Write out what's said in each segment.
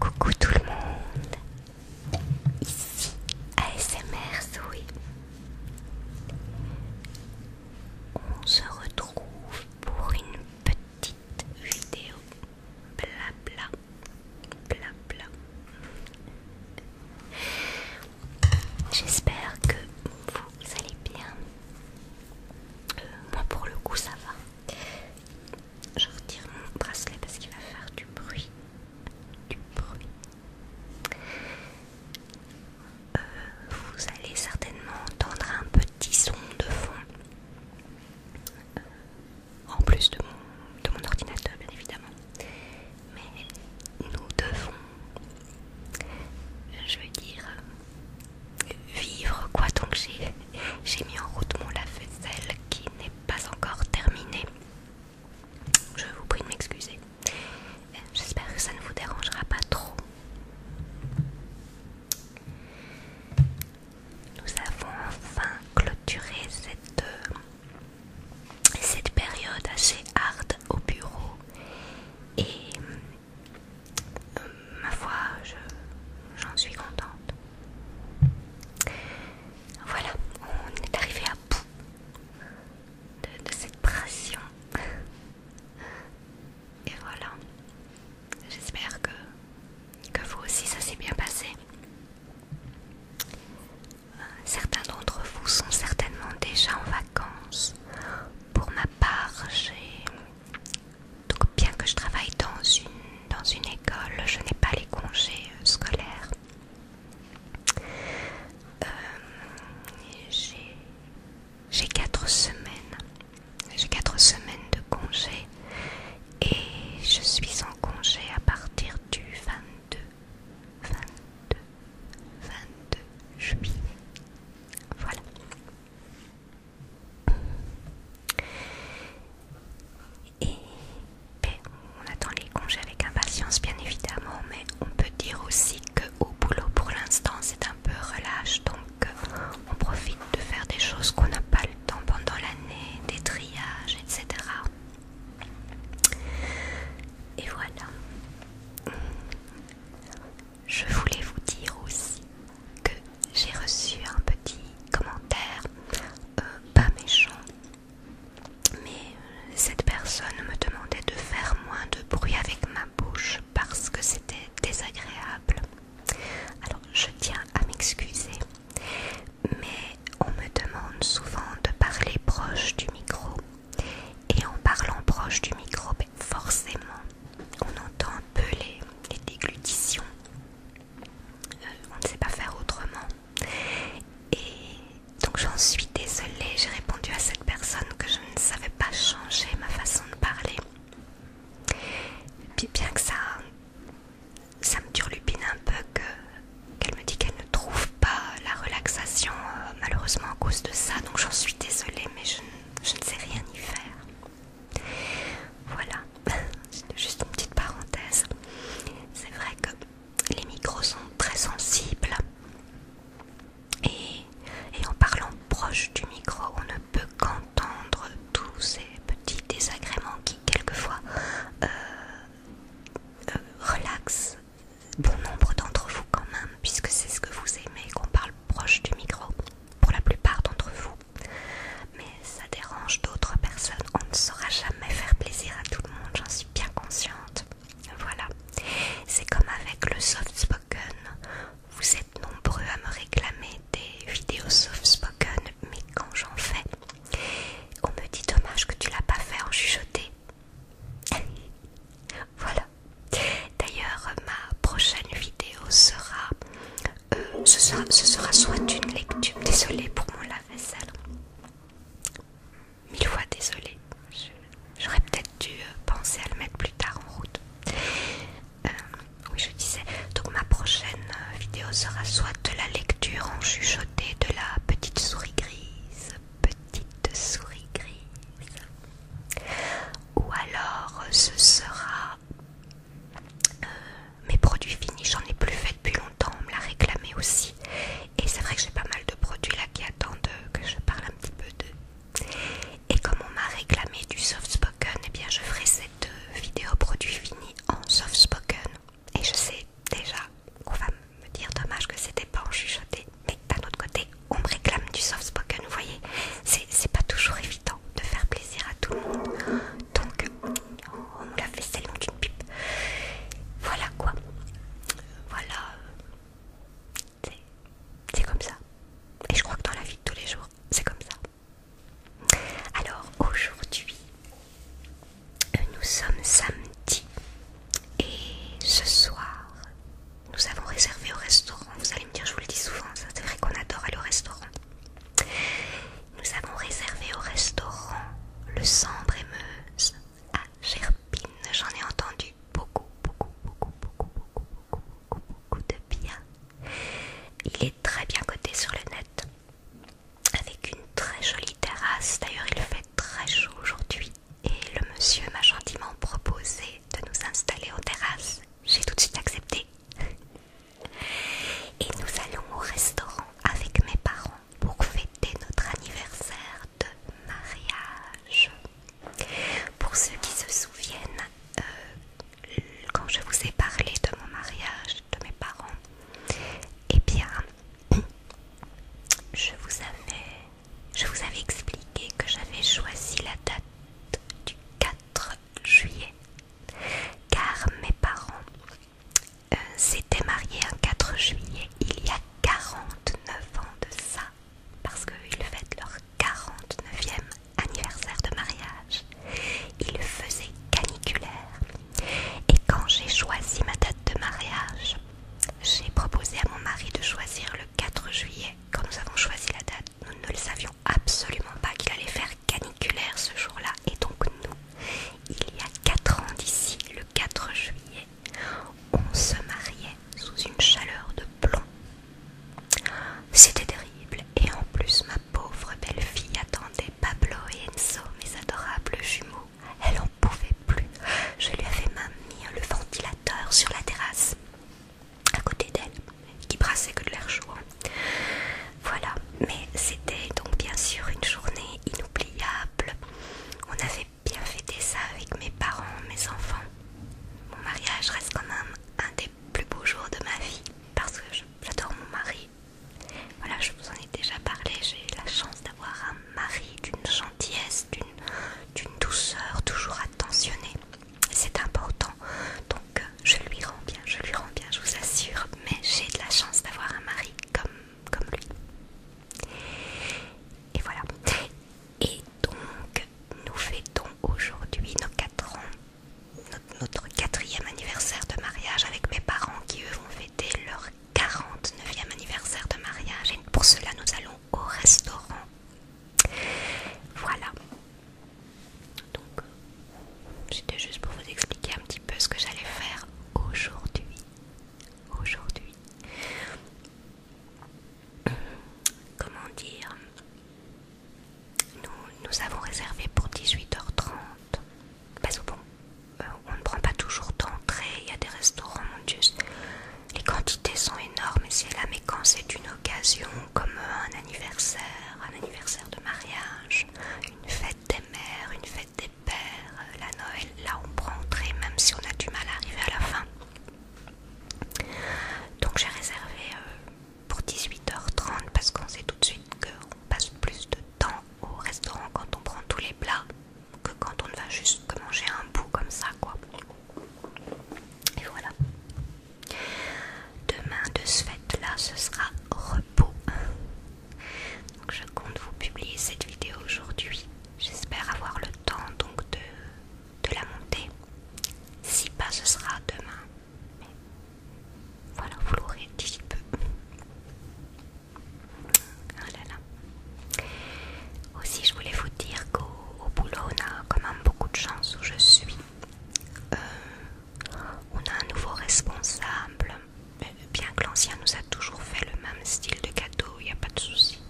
Coucou tout le monde, ici ASMR oui. On se retrouve pour une petite vidéo blabla, blabla. J'espère que vous allez bien. Euh, moi pour le coup ça va. Je retire mon bracelet parce qu'il va faire du bruit. Du bruit. Euh, vous allez certainement entendre un petit son de fond. Euh, en plus de mon ordinateur bien évidemment mais nous devons, je veux dire, vivre quoi. Donc j'ai mis en route mon lave-vaisselle qui n'est pas encore terminée Je vous prie de m'excuser. J'espère que ça ne vous dérangera pas trop. Nous avons enfin clôturé cette, euh, cette période assez hard au bureau et euh, ma foi, j'en suis contente. Voilà, on est arrivé à bout de, de cette pression. Et voilà, j'espère que, que vous aussi ça s'est bien passé. Euh, certains d'entre vous sont certainement déjà en vacances. Pour ma part, j'ai donc bien que je travaille dans une, école, je n'ai pas les congés euh, scolaires. Euh, j'ai quatre semaines. J'ai quatre semaines de congés et je suis en congé à partir du 22, 22 22 juillet. Voilà. Et ben, on attend les congés avec impatience, bien évidemment, mais on peut dire aussi que Au boulot, pour l'instant, c'est un peu relâche, donc euh, on profite de faire des choses qu'on n'a pas le temps pendant l'année, des triages, etc. Et voilà. Je voulais vous dire aussi que j'ai reçu un petit commentaire, euh, pas méchant, mais euh, cette personne me demandait de faire moins de bruit avec ma bouche parce que c'était désagréable. Alors je tiens à m'excuser, mais on me demande souvent de parler proche du micro et en parlant proche du micro, forcément, on entend un peu les, déglutitions. Euh, on ne sait pas faire autrement. Et donc j'en suis désolée, j'ai répondu à cette personne que je ne savais pas changer ma façon de parler. Puis bien que ça, ça me turlupine un peu, qu'elle me dit qu'elle ne trouve pas la relaxation, euh, malheureusement à cause de ça, donc j'en suis désolée, mais je, ne sais rien y faire. Voilà, juste une petite parenthèse. C'est vrai que les micros sont très sensibles et, en parlant proche du micro, on ne peut qu'entendre tous ces petits désagréments qui quelquefois euh, euh, relaxent Bon nombre d'entre vous quand même, puisque c'est ce que vous aimez qu'on parle proche du micro, pour la plupart d'entre vous. Mais ça dérange d'autres personnes, on ne saura jamais faire plaisir à tout le monde, j'en suis bien consciente. Voilà, c'est comme avec le soft spoken. Vous êtes nombreux à me réclamer des vidéos soft spoken, mais quand j'en fais, on me dit dommage que tu l'as pas fait en chuchoté voilà. D'ailleurs, ma prochaine vidéo euh, sera, ce sera, soit une lecture. Désolée pour mon lave-vaisselle. Mille fois désolée. J'aurais peut-être dû euh, penser à le mettre plus tard en route. Euh, oui, je disais. Donc ma prochaine vidéo sera soit de la lecture en chuchoté de la petite souris grise petite souris grise. Ou alors ce sera euh, mes produits finis, j'en ai plus fait depuis longtemps, on me l'a réclamé aussi. Et c'est vrai que j'ai pas mal de produits là qui attendent que je parle un petit peu d'eux. Et comme on m'a réclamé du soft spoken, Et eh bien je ferai cette euh, vidéo produit fini en soft spoken. Et je sais déjà qu'on va me dire dommage que c'était pas en chuchoté mais d'un autre côté, on me réclame du soft spoken, vous voyez, c'est pas toujours évident de faire plaisir à tout le monde. Donc, on me l'a fait celle d'une pipe. Voilà quoi. Voilà. C'est comme ça. Et je crois que dans la vie de tous les jours, c'est comme ça. Alors, aujourd'hui, nous sommes samedi et ce soir, nous avons réservé au restaurant. Vous allez me dire, je vous le dis souvent, c'est vrai qu'on adore aller au restaurant. Nous avons réservé au restaurant le Sambre et Meuse à Gerpine. J'en ai entendu beaucoup, beaucoup, beaucoup, beaucoup, beaucoup, beaucoup, beaucoup, beaucoup de bien. Il est très bien coté sur le net, avec une très jolie terrasse. D'ailleurs, il fait très chaud aujourd'hui, et le monsieur m'a gentiment proposé de nous installer en terrasse. J'ai tout de suite accepté. Et nous allons au restaurant avec mes parents pour fêter notre anniversaire de mariage. Pour ceux qui se souviennent, euh, quand je vous ai parlé de mon mariage, de mes parents, eh bien, je vous avais je vous avais expliqué que j'avais choisi la date du 4 juillet car mes parents euh, s'étaient mariés un 4 juillet il y a 49 ans de ça parce qu'ils fêtent leur 49e anniversaire de mariage. Il faisait caniculaire et quand j'ai choisi ma date de mariage, j'ai proposé à mon mari de choisir le 4 juillet, quand nous avons choisi la date, nous ne le savions absolument pas qu'il allait faire caniculaire ce jour-là. Et donc nous, il y a 4 ans d'ici, le 4 juillet, on se mariait sous une chaleur de plomb. C'était terrible et en plus ma pauvre belle-fille attendait Pablo et Enzo, mes adorables jumeaux. Elle n'en pouvait plus. Je lui avais même mis le ventilateur sur la terrasse à côté d'elle, qui brassait que de l'air chaud. Voilà, mais c'était donc bien sûr une journée inoubliable. On avait bien fêté ça avec mes parents, mes enfants. Mon mariage reste quand même un des plus beaux jours de ma vie parce que j'adore mon mari. Voilà, je vous en ai déjà parlé, j'ai eu la chance d'avoir un mari d'une gentillesse, d'une d'une douceur toujours attentionnée. C'est important. Donc euh, je lui rends bien, je lui rends bien, je vous assure. Mais j'ai de la chance d'avoir un mari comme, comme lui. Et voilà. Et donc nous fêtons aujourd'hui nos 4 ans, notre, quatrième anniversaire de mariage avec mes parents qui eux vont fêter leur 49e anniversaire de mariage. Et pour cela nous allons au restaurant voilà. Donc, c'était juste pour vous expliquer un petit peu ce que j'allais faire aujourd'hui. Aujourd'hui. Euh, comment dire nous, avons réservé pour 18h30. Parce que bon, euh, on ne prend pas toujours d'entrée, il y a des restaurants, mon les quantités sont énormes si mais quand c'est une occasion comme un anniversaire, un anniversaire de mariage, une fête des mères, une fête des pères, euh, la Noël, là on prend même si on a du mal à arriver à la fin. Donc j'ai réservé euh, pour 18h30 parce qu'on sait tout de suite qu'on passe plus de temps au restaurant quand on prend tous les plats que quand on ne va juste manger un bout comme ça quoi. Et voilà. Demain, de ce fait-là, ce sera repos. Donc, je compte vous publier cette vidéo aujourd'hui. J'espère avoir le temps donc de, de la monter. Si pas, ce sera demain. voilà, vous l'aurez d'ici peu. Ah là là. Aussi, je voulais vous dire qu'au boulot, on a quand même beaucoup de chance où je suis. Euh, on a un nouveau responsable, euh, bien que l'ancien nous a toujours fait le même style de cadeau, il n'y a pas de souci.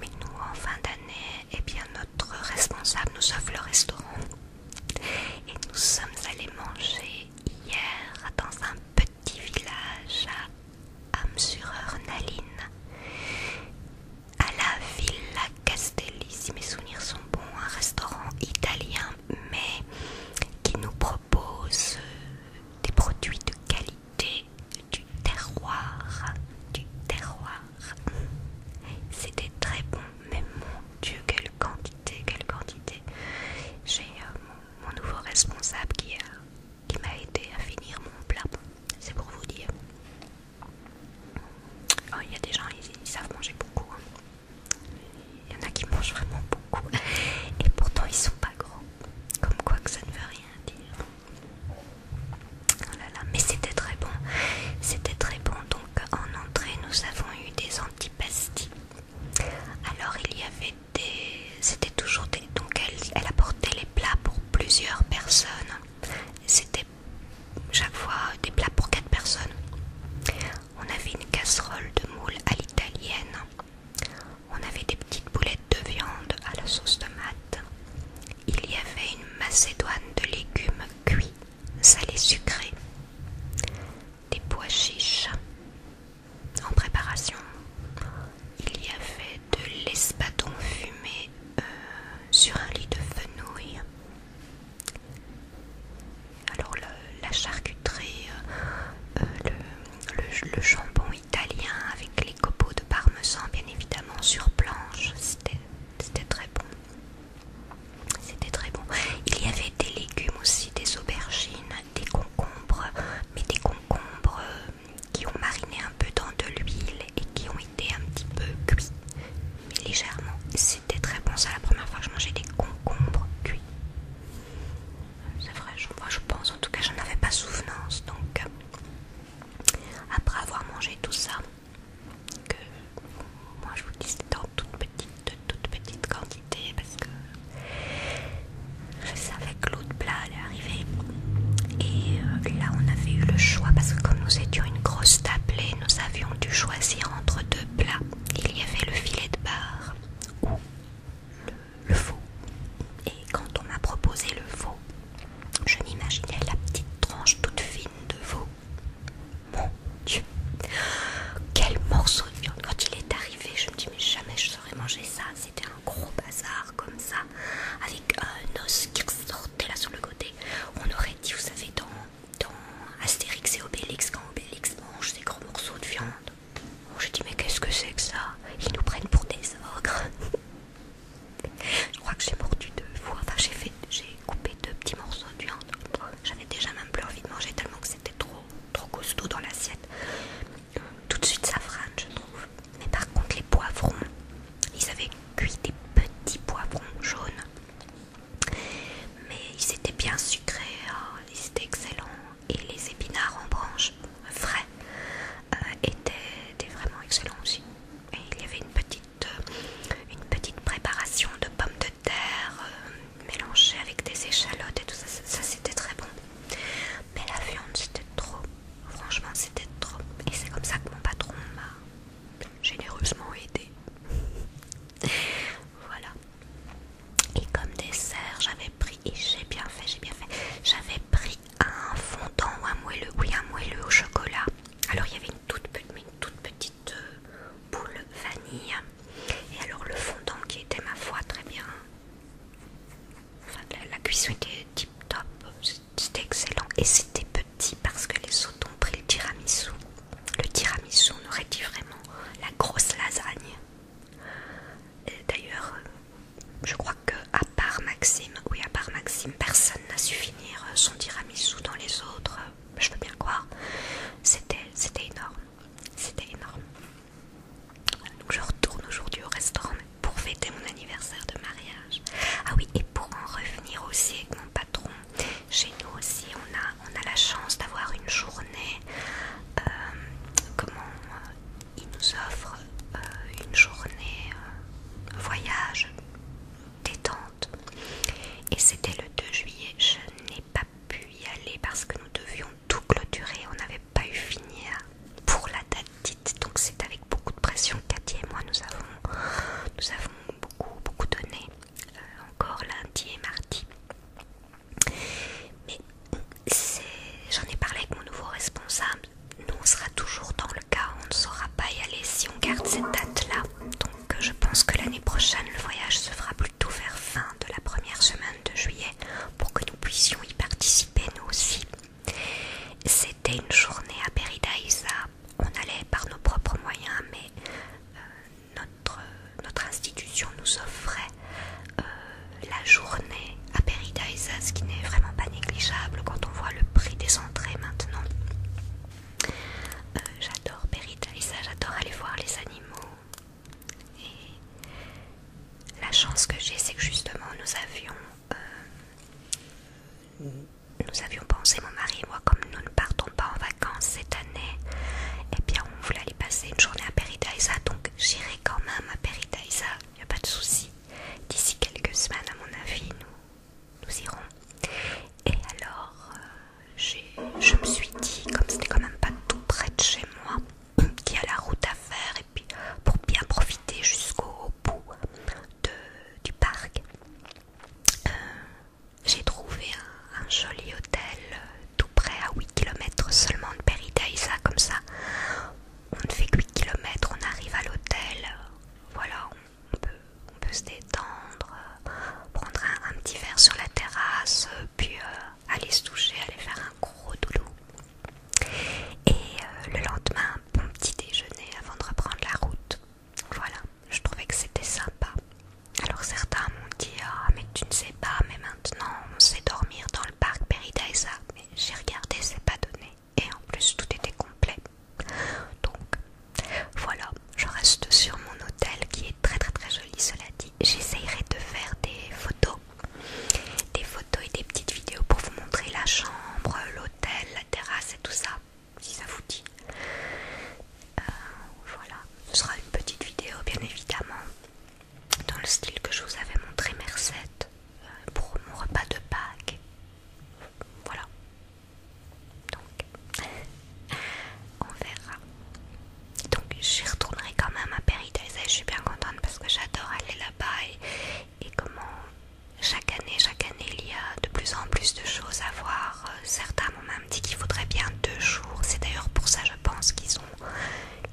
Mais nous, en fin d'année, eh bien notre responsable nous offre le restaurant. Et nous sommes allés manger hier dans un petit village à Amsureur-Naline à la Villa Castelli, si mes souvenirs sont bons, un restaurant italien mais qui nous propose euh, des produits de qualité du terroir, du terroir. C'était très bon, mais mon Dieu, quelle quantité, quelle quantité. J'ai euh, mon, nouveau responsable qui, qui m'a aidé à finir mon plat. C'est pour vous dire. Oh, il y a des gens, ils, savent manger beaucoup. Hein. Il y en a qui mangent vraiment beaucoup. Et pourtant, ils sont pas gros. Comme quoi que ça ne veut rien dire. Oh mais c'était très bon. C'était très bon. Donc, en entrée, nous avons eu des antipasties Alors, il y avait des. C'était toujours des. Donc, elle apportait les plats pour plusieurs personnes. C'était chaque fois des plats pour quatre personnes. On avait une casserole de moules à l'italienne. On avait des petites boulettes de viande à la sauce tomate. Il y avait une macédoine de légumes cuits, salés sucrés. Des pois chiches en préparation. Il y avait de l'espadon fumé euh, sur un lit de fenouil. Alors la charcuterie, euh, euh, le, le, jambon italien avec les copeaux de parmesan bien évidemment sur planche, c'était très bon. C'était très bon. Il y avait des légumes aussi, des aubergines, des concombres, mais des concombres qui ont mariné un peu dans de l'huile et qui ont été un petit peu cuits, mais légèrement. C'était très bon, ça la première fois que je mangeais des concombres cuits. C'est vrai, je, pense, en tout cas, j'en avais pas souvenance. Donc, euh, après avoir mangé tout ça, que moi je vous dis c'était en toute petite, toute petite quantité parce que je savais que l'autre plat allait et euh, là, on avait eu le choix parce que comme nous étions une grosse tablette nous avions dû choisir entre deux plats. Il y avait le filet de bar ou le, veau Et quand on m'a proposé le veau je m'imaginais la petite tranche toute fine de veau. Mon Dieu, quel morceau de viande Quand il est arrivé, je me dis mais jamais je saurais manger ça. C'était un gros bazar comme ça avec un euh, os qui sortait là sur le côté. On aurait dit, vous savez, dans, dans Astérix et Obélix, quand Obélix mange ses gros morceaux de viande. J'ai dit, mais qu'est-ce que c'est que ça Ils nous prennent pour des ogres. Je crois que j'ai mordu deux fois, enfin j'ai coupé deux petits morceaux de viande. J'avais déjà même plus envie de manger tellement que c'était trop, trop costaud dans l'assiette. Tout de suite ça je trouve. Mais par contre, les poivrons, ils avaient cuit des petits poivrons jaunes. Mais ils étaient bien sucrés, hein. ils étaient excellents. Et les épinards en branche, frais, euh, étaient, vraiment excellents aussi. Et il y avait une petite, euh, une petite préparation de pommes de terre euh, Mélangées avec des échalotes et tout ça. ça c'était très bon. Mais la viande, c'était trop. Franchement, c'était trop. Et c'est comme ça que mon patron m'a généreusement aidé. voilà. Et comme dessert, j'avais pris, et j'ai bien fait, j'ai bien fait, j'avais pris un fondant ou un moelleux, oui un moelleux au chocolat. Alors il y avait une toute, petite euh, boule vanille. Et alors le fondant qui était ma foi très bien. la, la cuisson était tip top, c'était excellent et c'était petit parce que les autres ont pris le tiramisu. Le tiramisu nous aurait dit vraiment la grosse lasagne. D'ailleurs, euh, je crois que à part Maxime, oui à part Maxime, personne n'a su finir euh, son tiramisu dans les autres. Je veux bien croire. C'était énorme. C'était énorme. je retourne aujourd'hui au restaurant, pour fêter mon anniversaire de mariage. Ah oui, et pour en revenir aussi avec mon patron, chez nous aussi on a, on a la chance d'avoir une journée, euh, comment, euh, il nous offre euh, une journée voyage, détente. Et c'était le 2 juillet, je n'ai pas pu y aller parce que nous devions tout clôturer, on n'avait pas eu fini hein, pour la date donc c'est avec beaucoup de pression. Cathy et moi, nous avons, nous avons beaucoup, beaucoup donné euh, encore lundi et mardi. Mais j'en ai parlé avec mon nouveau responsable. Nous, on sera toujours dans le cas, on ne saura pas y aller si on garde cette date-là. Donc, euh, je pense que l'année prochaine, le voyage se fera plutôt vers fin de la première semaine de juillet pour que nous puissions y participer nous aussi. C'était une journée à Péridaïsa On allait par nos propres moyens, mais euh, notre, notre institution nous offrait euh, la journée à Péridaïsa ce qui n'est vraiment pas négligeable quand on voit le prix des entrées maintenant. Euh, j'adore Péridaïsa j'adore aller voir les animaux. Et la chance que j'ai, c'est que justement nous avions. Nous avions pensé, mon mari et moi, comme nous ne partons pas en vacances cette année, et eh bien on voulait aller passer une journée à Péridaïsa, donc j'irai quand même à Péridaïsa, il n'y a pas de souci. D'ici quelques semaines, à mon avis, nous, nous irons. Et alors, euh, je me suis dit, comme n'est quand même pas tout près de chez moi, qu'il y a la route à faire, et puis pour bien profiter jusqu'au bout du parc, euh, j'ai trouvé un, joli hôtel euh, tout près à 8 km seulement de Péridaïsa comme ça on ne fait que 8 km, on arrive à l'hôtel, euh, voilà, on peut, se détendre, prendre un, petit verre sur la terrasse, puis aller se toucher, aller faire un gros doulou. Et le lendemain, bon petit déjeuner avant de reprendre la route. Voilà, je trouvais que c'était sympa. Alors certains m'ont dit Ah, mais tu ne sais pas, mais maintenant on sait dormir dans le parc Peridaisa. Mais j'ai regardé, c'est pas donné. Et en plus, tout était complet. Donc voilà, je reste sur mon hôtel qui est très très très joli, cela dit. J'essayerai de faire des photos, des photos et des petites vidéos pour vous montrer la chambre, l'hôtel, la terrasse et tout ça si ça vous dit. Euh, voilà, ce sera une petite vidéo bien évidemment dans le style que je vous avais montré Mercedes euh, pour mon repas de Pâques. Voilà. Donc, on verra. Donc, j'y retournerai quand même à et Je suis bien contente parce que j'adore aller là-bas et comment chaque année, chaque année, il y a de plus en plus de choses à voir. Euh, certains m'ont même dit qu'il faudrait bien deux jours. C'est d'ailleurs pour ça, je pense, qu'ils ont,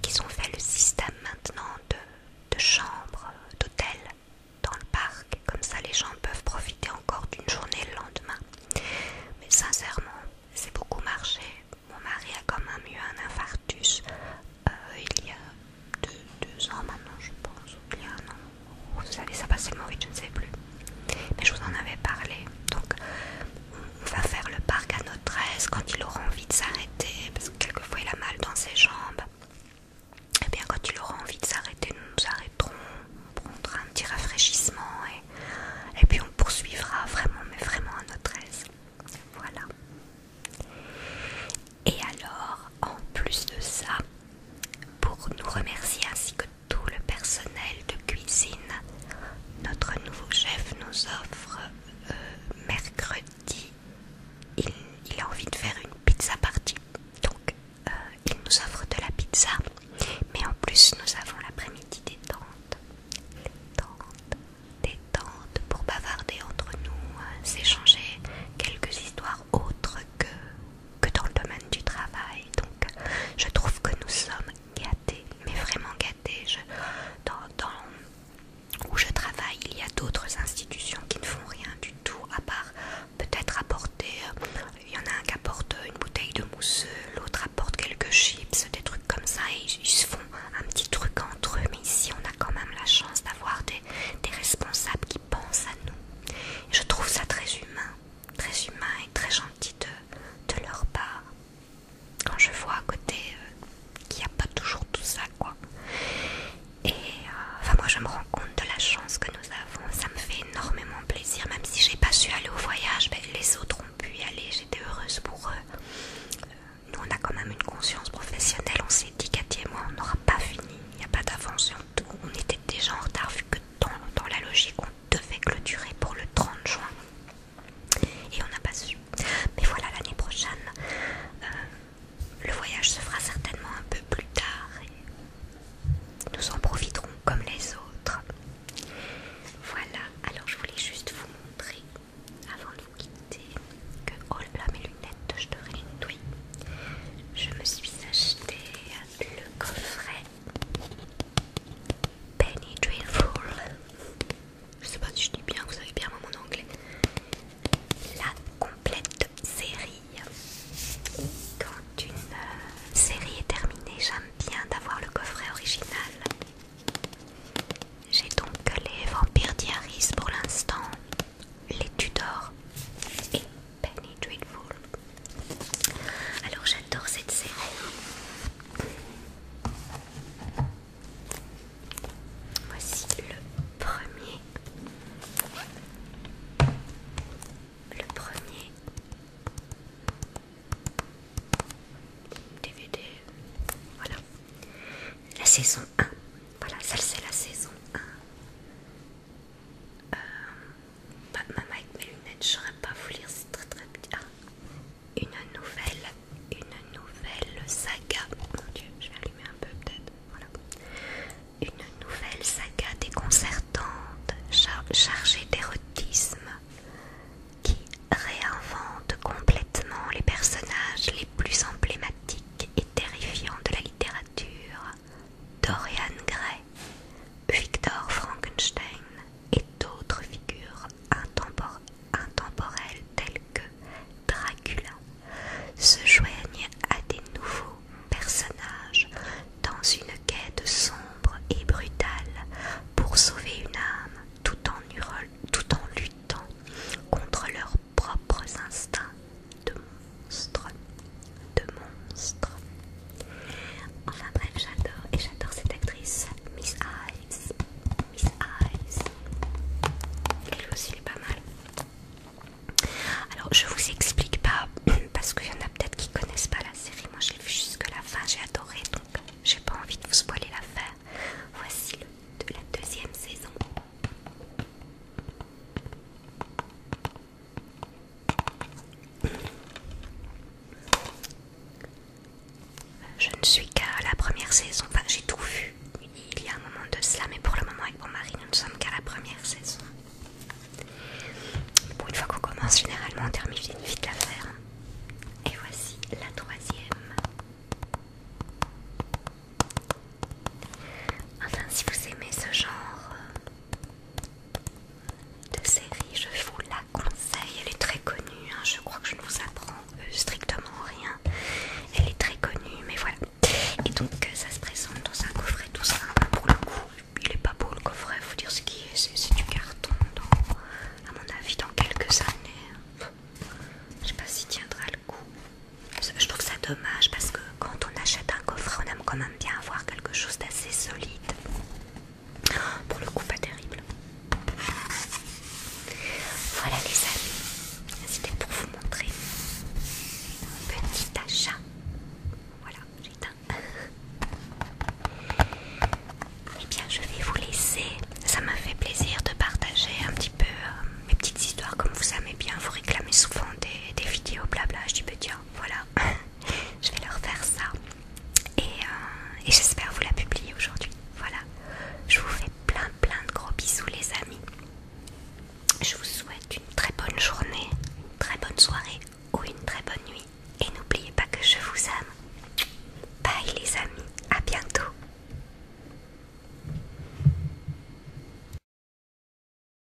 qu'ils ont fait le système maintenant de, chambres, euh, d'hôtels dans le parc. Comme ça, les gens peuvent profiter encore d'une journée le lendemain. Mais sincèrement, c'est beaucoup marché. Mon mari a quand même eu un infarctus euh, il y a deux, ans maintenant, je pense, ou bien un Vous ça passe tellement vite, je ne sais plus. Mais je vous en avais parlé. Donc, on va faire le parc à notre aise quand il aura envie de s'arrêter, parce que quelquefois il a mal dans ses jambes. Et eh bien, quand il aura envie de s'arrêter, nous nous arrêterons, on prendra un petit rafraîchissement et puis on poursuivra vraiment, mais vraiment à notre aise. Voilà. Et alors, en plus de ça, pour nous remercier ainsi que tout le personnel de cuisine, notre nouveau chef nous offre euh, mercredi, il, a envie de faire une pizza party. Donc, euh, il nous offre de la pizza, mais en plus, nous avons l'après-midi détente. Détente, détente pour bavarder entre nous, euh, s'échanger quelques histoires autres que que dans le domaine du travail. Donc, je trouve que nous sommes gâtés, mais vraiment gâtés. dans, où je travaille, il y a d'autres institutions qui ne font rien du tout, à part peut-être apporter. Euh, il y en a un qui apporte une bouteille de mousseux, l'autre apporte quelques chips, des trucs comme ça, et ils, se font un petit truc entre eux. Mais ici, on a quand même la chance d'avoir des, des responsables pense à nous. je trouve ça très humain, très humain et très gentil de, leur part. Quand je vois à côté euh, qu'il n'y a pas toujours tout ça, quoi. Et euh, enfin, moi je me rends compte de la chance que nous avons. Ça me fait énormément plaisir, même si j'ai pas su aller au voyage, ben, les autres ont pu y aller. J'étais heureuse pour eux. Euh, nous, on a quand même une conscience professionnelle. On s'est dit, qu'à et on n'aura pas fini. Il n'y a pas d'avance, on était déjà en retard vu que dans, la logique on devait clôturer pour le 30 juin et on n'a pas su. Mais voilà l'année prochaine, euh, le voyage se fera certainement un peu plus tard nous en profiterons comme les autres. Voilà, alors je voulais juste vous montrer avant de vous quitter que oh là mes lunettes, je devrais les je me suis acheté le coffret Penny Dreadful. Je sais pas si je dis bien, vous savez bien mon anglais. La complète série. Quand une euh, série est terminée, j'aime bien d'avoir le coffret original. J'ai donc les Vampires Diaries pour l'instant, les Tudors et Penny Alors j'adore cette série. Voici le premier. Le premier DVD. Voilà. La saison 1. Voilà, celle c'est la saison 1. Euh, avec mes lunettes, je saurais pas vous lire, c'est très très une nouvelle, une nouvelle saga. Mon dieu, je vais allumer un peu peut-être. Voilà. Une nouvelle saga déconcertante, chargée d'érotisme, qui réinvente complètement les personnages les plus emblématiques et terrifiants de la littérature Dorian Gray, Victor Frankenstein et d'autres figures intemporelles telles que Dracula se joignent à des nouveaux personnages dans une quête sombre et brutale pour sauver une âme tout en luttant contre leurs propres instincts de monstre, de monstre. Enfin bref, j'adore et j'adore cette actrice, Miss Eyes, Miss Eyes. Elle aussi elle est pas mal. Alors je vous explique pas parce qu'il y en a peut-être qui connaissent pas la série. Moi j'ai vu jusque la fin, j'ai adoré donc j'ai pas envie de vous spoiler l'affaire. Voici le, de la deuxième saison. Je ne suis qu'à la première saison, enfin j'ai tout vu il y a un moment de cela, mais pour le moment avec mon mari nous ne sommes qu'à la première saison. Bon, une fois qu'on commence, généralement on termine vite l'affaire. Et voici la troisième. Enfin, si vous aimez ce genre euh, de série, je vous la conseille. Elle est très connue, hein. je crois que je ne vous apprends euh, strictement rien. Elle est très connue, mais voilà. Et donc, euh, ça se présente dans un coffret tout ça, Pour le coup, il est pas beau le coffret, faut dire ce qui est. C'est du carton, à mon avis, dans quelques années. Je sais pas si tiendra le coup. Je trouve ça dommage parce que quand on achète un coffret, on aime quand même bien avoir quelque chose d'assez solide. Pour le coup, pas terrible. Voilà les amis, c'était pour vous montrer mon petit achat. Voilà, j'ai éteint Eh bien, je vais vous laisser. Ça m'a fait plaisir de partager un petit peu euh, mes petites histoires comme vous aimez bien. Vous réclamez souvent des, des vidéos blabla. Je dis, bah voilà, je vais leur faire ça euh, et, j'espère vous la publier aujourd'hui. Voilà, je vous fais plein plein de gros bisous les amis. Je vous souhaite une très bonne journée, une très bonne soirée ou une très bonne nuit. Et n'oubliez pas que je vous aime. Bye les amis, à bientôt.